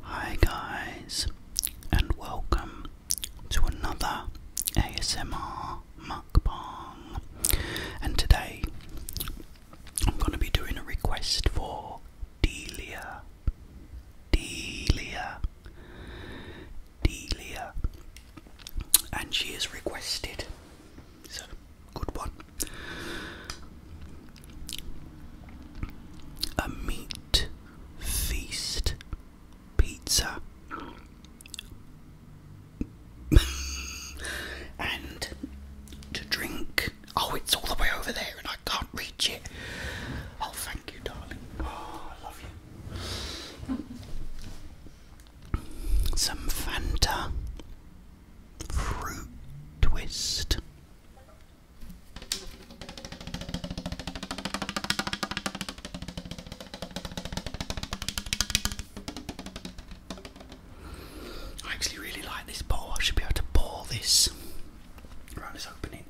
Hi, guys, and welcome to another ASMR mukbang. And today I'm going to be doing a request for Delia. Delia. Delia. And she is requested. It's good one. A meat feast pizza. and to drink Oh, it's all the way over there and I can't reach it. Oh, thank you, darling. Oh, I love you. Some Fanta fruit twist. I actually really like this bowl. I should be able to pour this. Right, let's open it.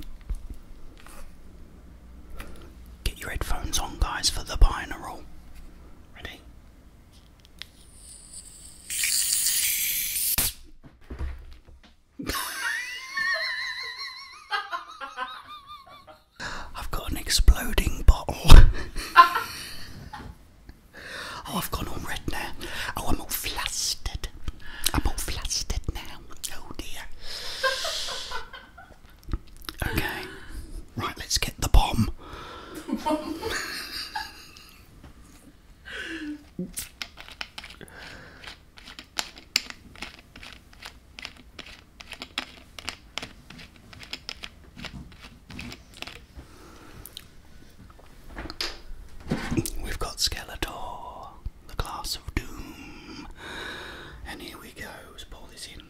Get your headphones on, guys, for the binaural. Ready? I've got an exploding bottle. Oh, I've gone all red now. Oh, I'm all flustered. I'm all flustered now. Oh dear. Okay. Right, let's get the bomb. We've got Skeletor, the glass of doom, and here we go. pour this in.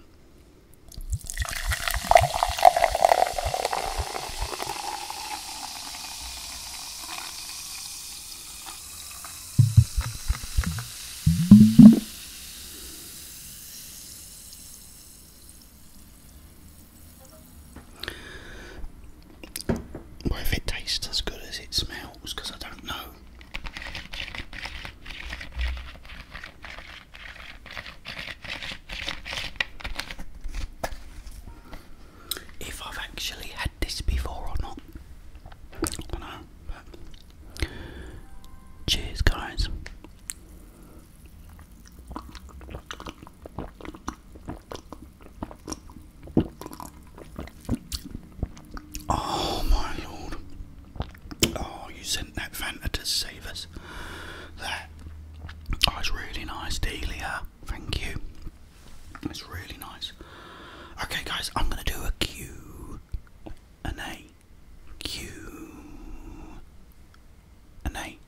Well, if it tastes as good as it smells, because I don't know. If I've actually had this before or not, cheers, guys. Oh, my lord. Oh, you sent that Fanta to save us. That. was oh, really nice, Delia. Thank you. It's really nice. Okay, guys, I'm going to do a Q. An A. Q an A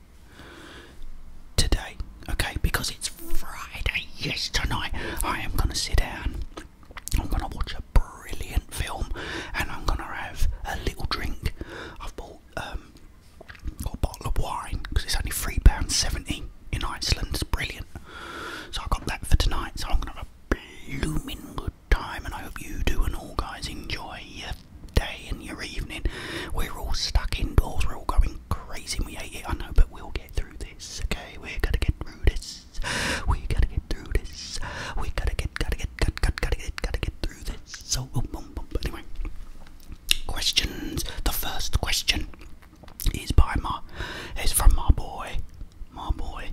today, okay? Because it's Friday, yes, tonight I am going to sit down, I'm going to watch a brilliant film, and I'm going to have a little drink. I've bought, um, a bottle of wine because it's only £3.70 in Iceland, it's brilliant. So I got that for tonight, so I'm going to have a blooming good time, and I hope you do and all guys enjoy, yeah? day and your evening. We're all stuck indoors, we're all going crazy, we hate it, I know, but we'll get through this, okay? We're gonna get through this. We gotta get through this. We gotta get, gotta get, gotta, gotta, get, gotta get through this. So, boom, boom, boom. anyway, questions. The first question is by my, it's from my boy, my boy.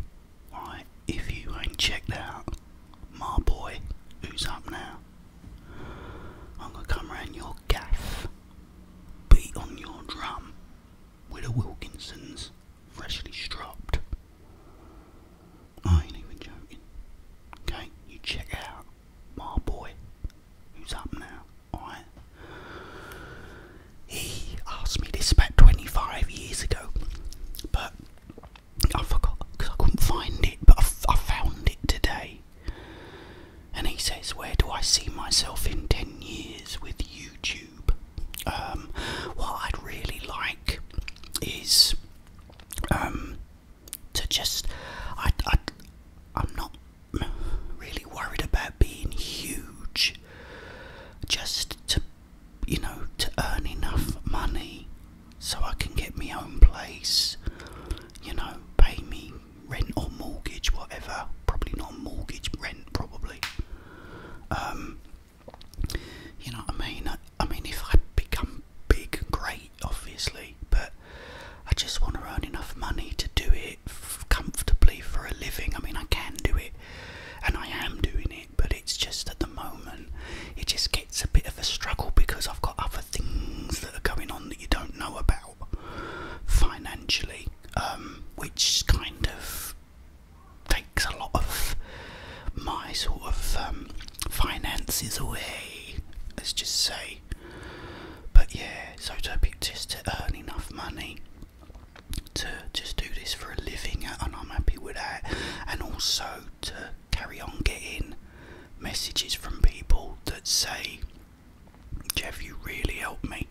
Right, if you ain't checked out my boy, who's up now? I'm gonna come round your gaff, beat on your drum with a Wilkinson's freshly stropped. I ain't even joking. Okay, you check out my boy who's up now, alright? He asked me this about 25 years ago, but I forgot because I couldn't find it, but I found it today. And he says, Where do I see myself in 10 years with YouTube? Um, what I'd really like is um, to just. I, I'm not really worried about being huge, just to, you know, to earn enough money so I can get my own place, you know, pay me rent or mortgage, whatever. Probably not mortgage, rent, probably. Um, you know what I mean? I, I mean, if I become big, great, obviously, but I just want to earn enough money to do it comfortably for a living. I mean, I can do it, and I am doing it, but it's just at the moment, it just gets a bit of a struggle because I've got other things that are going on that you don't know about financially, um, which kind of takes a lot of my sort of um, finances away, let's just say. But yeah, so to just to earn enough money to just do this for a living, and I'm happy with that, and also to carry on getting messages from people that say, Jeff, you really help me.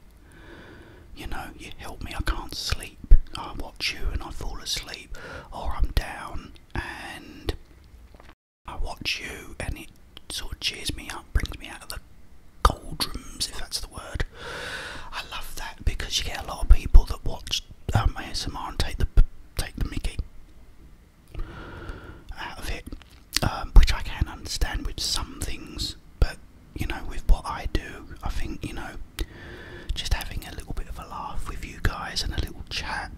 You know, you help me, I can't sleep. I watch you and I fall asleep, or I'm down and I watch you and it sort of cheers me up, brings me out of the cold rooms, if that's the word. I love that because you get a lot of people that watch my um, S M R and take the take the Mickey, out of it, um, which I can understand with some things, but you know, with what I do, I think you know, just having a little bit of a laugh with you guys and a little chat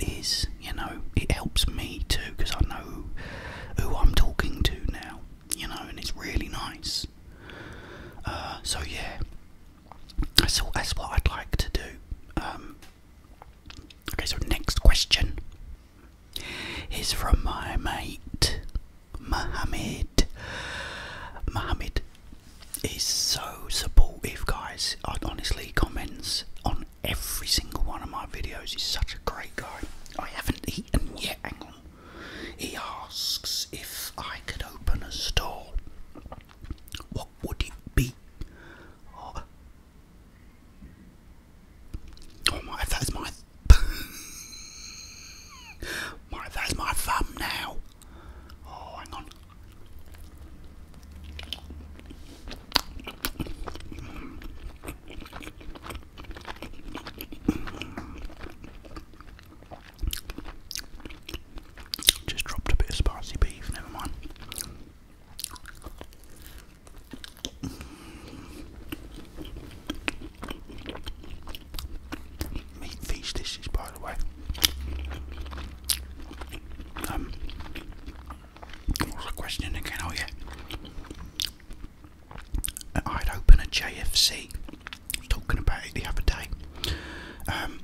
is, you know, it helps me too because I know who I'm talking to now, you know, and it's really nice. Uh, so yeah, that's that's what I'd like to do. Um, Okay, so next question is from my mate Mohammed. Mohammed is so supportive, guys. I honestly comments on every single one of my videos. He's such a great guy. I haven't eaten yet. Hang on. He asks if I could open a store. What would it be? Oh, oh my, that is my. my, that is my thumb now. Oh, hang on. Just dropped a bit of spicy beef, never mind. Meat feast dishes, by the way. Um, question again? Oh yeah, I'd open a JFC. was talking about it the other day. Um,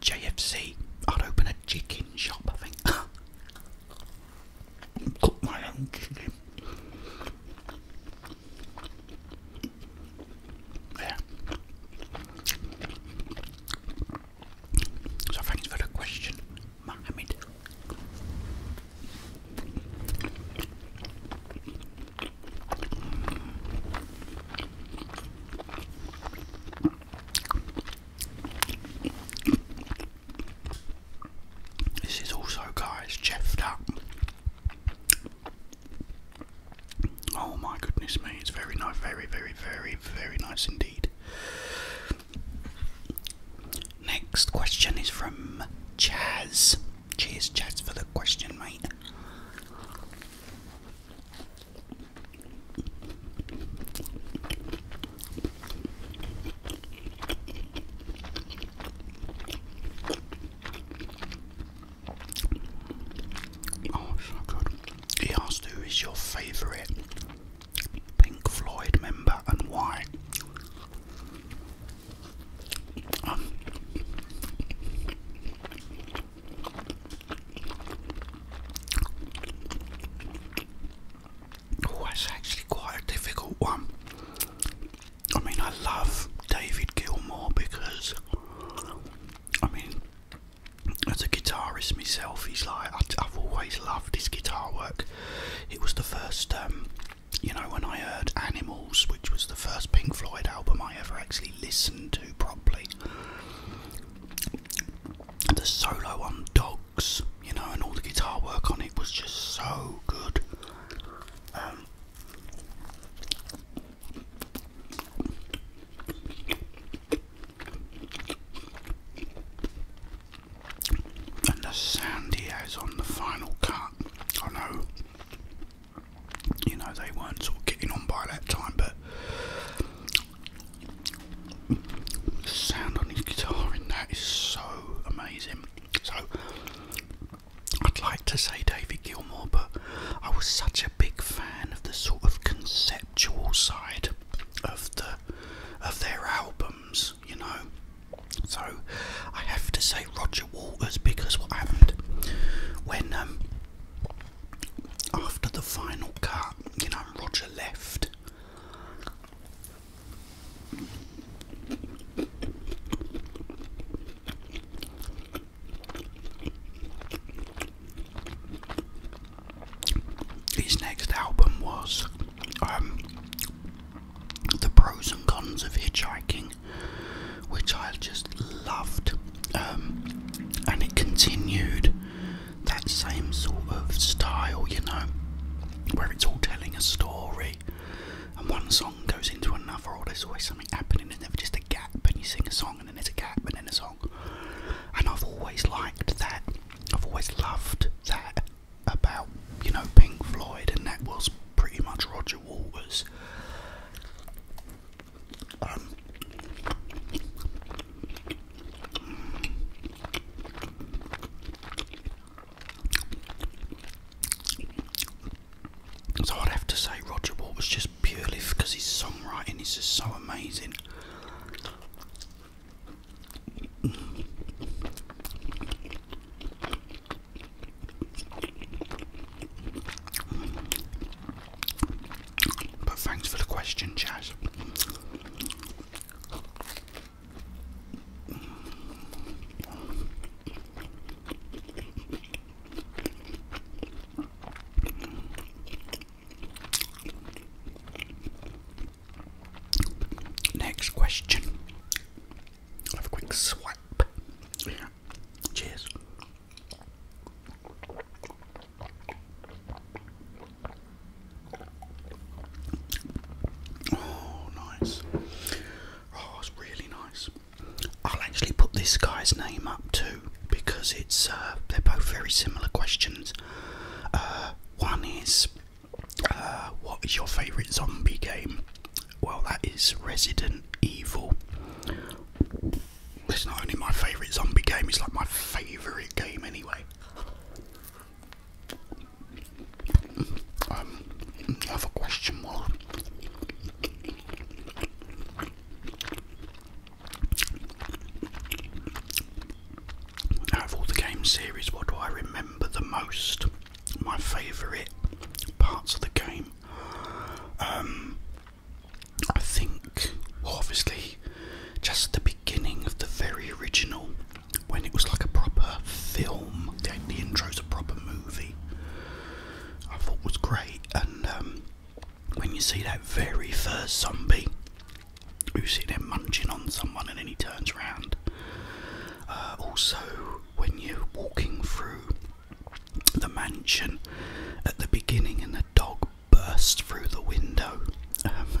JFC. I'd open a chicken shop, I think. Cook my own chicken. So thanks for the question, Mohammed. This is also, guys, cheffed up. Oh my goodness me, it's very nice, very, very, very, very nice indeed. Next question is from Chaz. Cheers, Chaz, for the question, mate. Oh, he asked who is your favourite Pink Floyd member and why. Um, Oh, that's actually quite a difficult one. I mean, I love David Gilmour because, I mean, as a guitarist myself, he's like, I've always loved his guitar work. It was the first, um, you know, when I heard Animals, which was the first Pink Floyd album I ever actually listened to properly the solo on Dogs, you know, and all the guitar work on it was just so good. Um, and the sound he has on the final cut, I know, you know, they weren't sort of getting on by that time, but the sound on his guitar in that is so amazing. So I'd like to say David Gilmour, but I was such a big fan of the sort of conceptual side of the of their albums, you know. So I have to say Roger Waters because what happened when um, after the final cut, you know, Roger left. His next album was um, The Pros and Cons of Hitchhiking, which I just loved, um, and it continued that same sort of style, you know, where it's all telling a story and one song goes into another, or there's always something happening, there's never just a gap, and you sing a song, and then there's a gap, and then a song. And I've always liked that, I've always loved that about, you know, Pink Floyd, and that was pretty much Roger Waters. Um, so I'd have to say Roger Waters just purely because his songwriting is just so amazing. But thanks for the question, Chaz. Next question. Have a quick swipe. Cheers. Oh, nice. Oh, it's really nice. I'll actually put this guy's name up too because it's uh, they're both very similar questions. Uh, one is uh, what is your favourite zombie game? Well, that is Resident Evil. It's not only my favourite zombie game, it's like my favourite game anyway. Um, question was out of all the game series, what do I remember the most? My favourite parts of the game. Um, I think, obviously, just the beginning of the very original, when it was like a proper film, the, the intro's a proper movie, I thought was great. And um, when you see that very first zombie who's sitting there munching on someone and then he turns around, uh, also, when you're walking through the mansion at the beginning and the dog burst through the window. Um,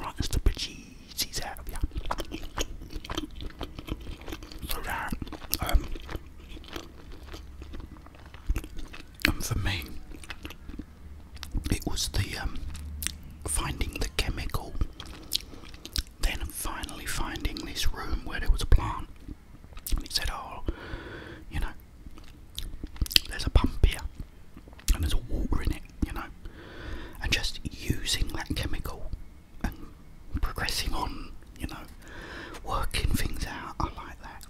right, as the bejesus out of you. So that, um, and for me, it was the um, finding the chemical, then finally finding this room where there was a plant. And he said, Oh, you know, there's a pump here and there's water in it, you know. And just using that chemical and progressing on, you know, working things out. I like that.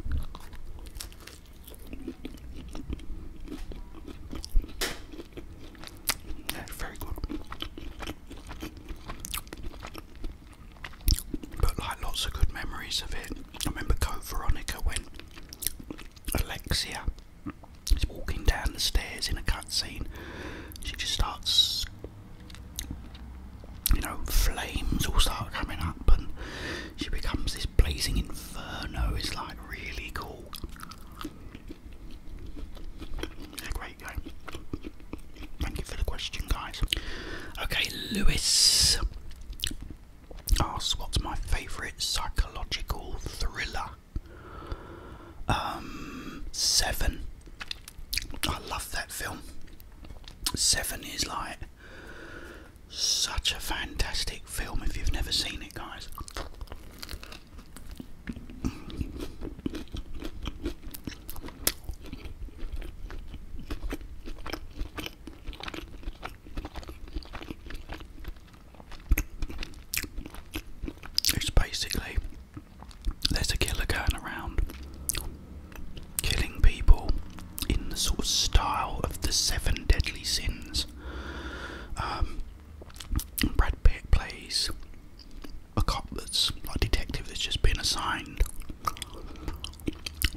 very good. But like lots of good memories of it. I remember Code Veronica when Alexia is walking down the stairs in a cutscene. She just starts, you know, flames all start coming up, and she becomes this blazing inferno. It's like really cool. Thank you for the question, guys. Okay, Lewis asks, "What's my favourite psychological thriller?" Um, Seven. I love that film. Seven is like such a fantastic film if you've never seen it, guys. It's basically there's a killer going around killing people in the sort of style of the seven deadly sins. Um, Brad Pitt plays a cop that's a detective that's just been assigned.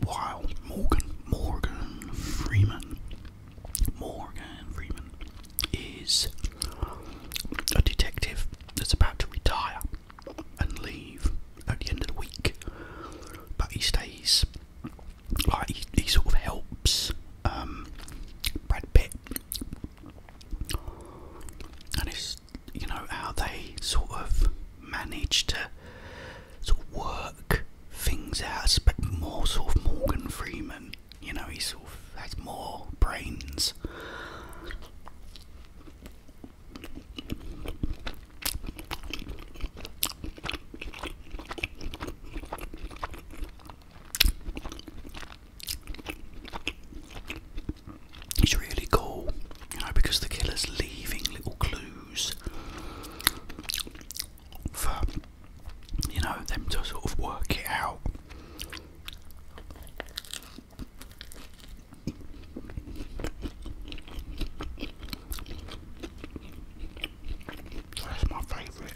While Morgan, Morgan Freeman, Morgan Freeman is a detective that's about to retire and leave at the end of the week, but he stays. Like he, sort of helps um, Brad Pitt, and it's you know how they sort of manage to sort of work things out. but more sort of Morgan Freeman. You know, he sort of has more brains. It's really cool, you know, because the killer's leaving little clues for you know them to sort of work it out. That's my favourite.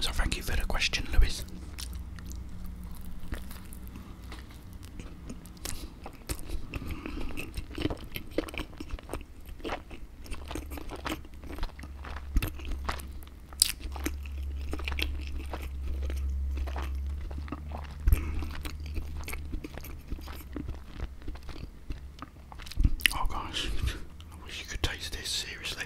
So thank you for the question, Lewis. Oh gosh, I wish you could taste this seriously.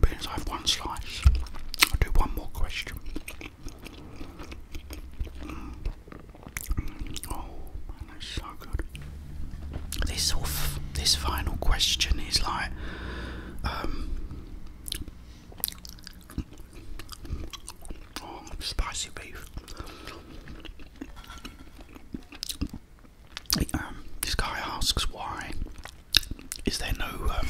Beans, I have one slice. I'll do one more question. Mm. Oh, man, that's so good. This off, this final question is like, um, um, spicy beef. Um, this guy asks why is there no um,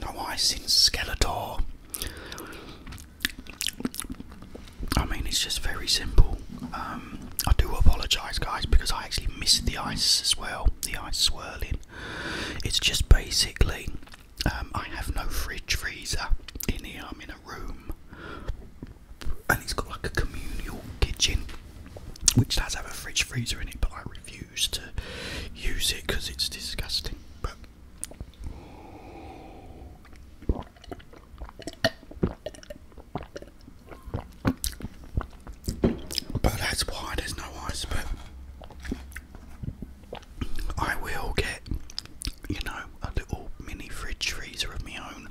no ice in Skeletor? I mean, it's just very simple. I do apologise, guys, because I actually missed the ice as well, the ice swirling. It's just basically, um, I have no fridge freezer in here, I'm in a room, and it's got like a communal kitchen which does have a fridge freezer in it, but I refuse to use it because it's disgusting. But but that's why there's no ice. But I will get, you know, a little mini fridge freezer of my own.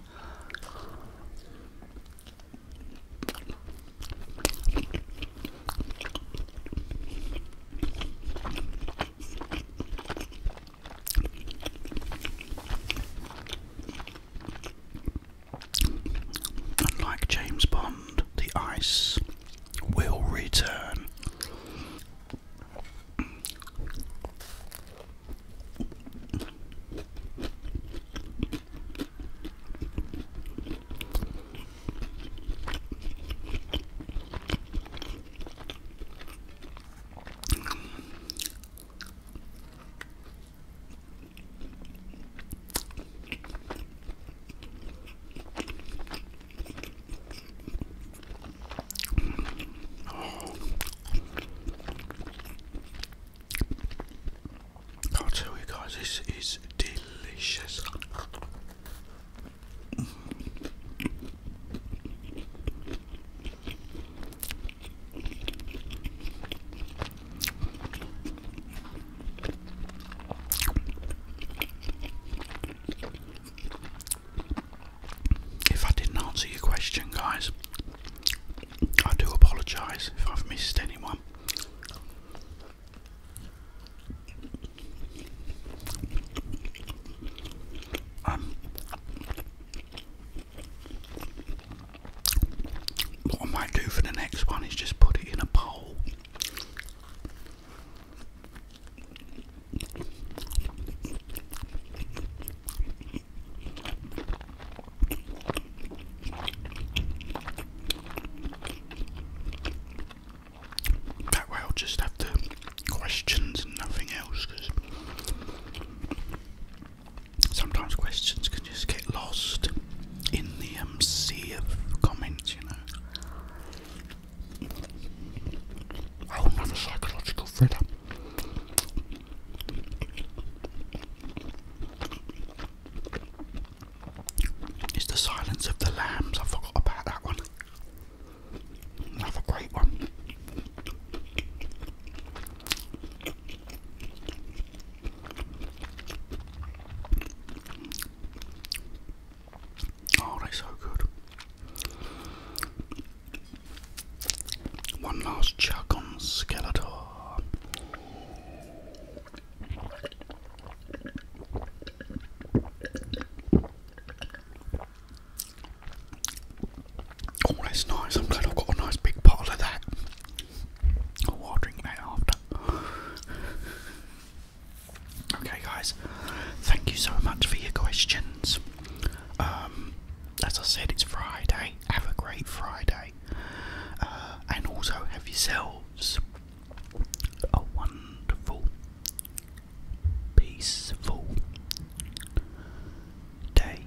And James Bond, the ice will return. I'll tell you guys, this is delicious. If I didn't answer your question, guys, I do apologise if I've missed anyone. Um, what I might do for the next one is just put it in a bowl that way I'll just have the questions and nothing else because sometimes questions can just get lost in the um, sea of comments, you know. another psychological thriller. It's The Silence of the Lambs. I forgot about that one. Another great one. Oh, they so good. One last chuck on Skeletor. Oh, that's nice. I'm glad I've got a nice big bottle of that. I'll after. okay, guys, thank you so much for your questions. Um, as I said, it's Friday. Have a great Friday, uh, and also have yourselves a wonderful, peaceful day.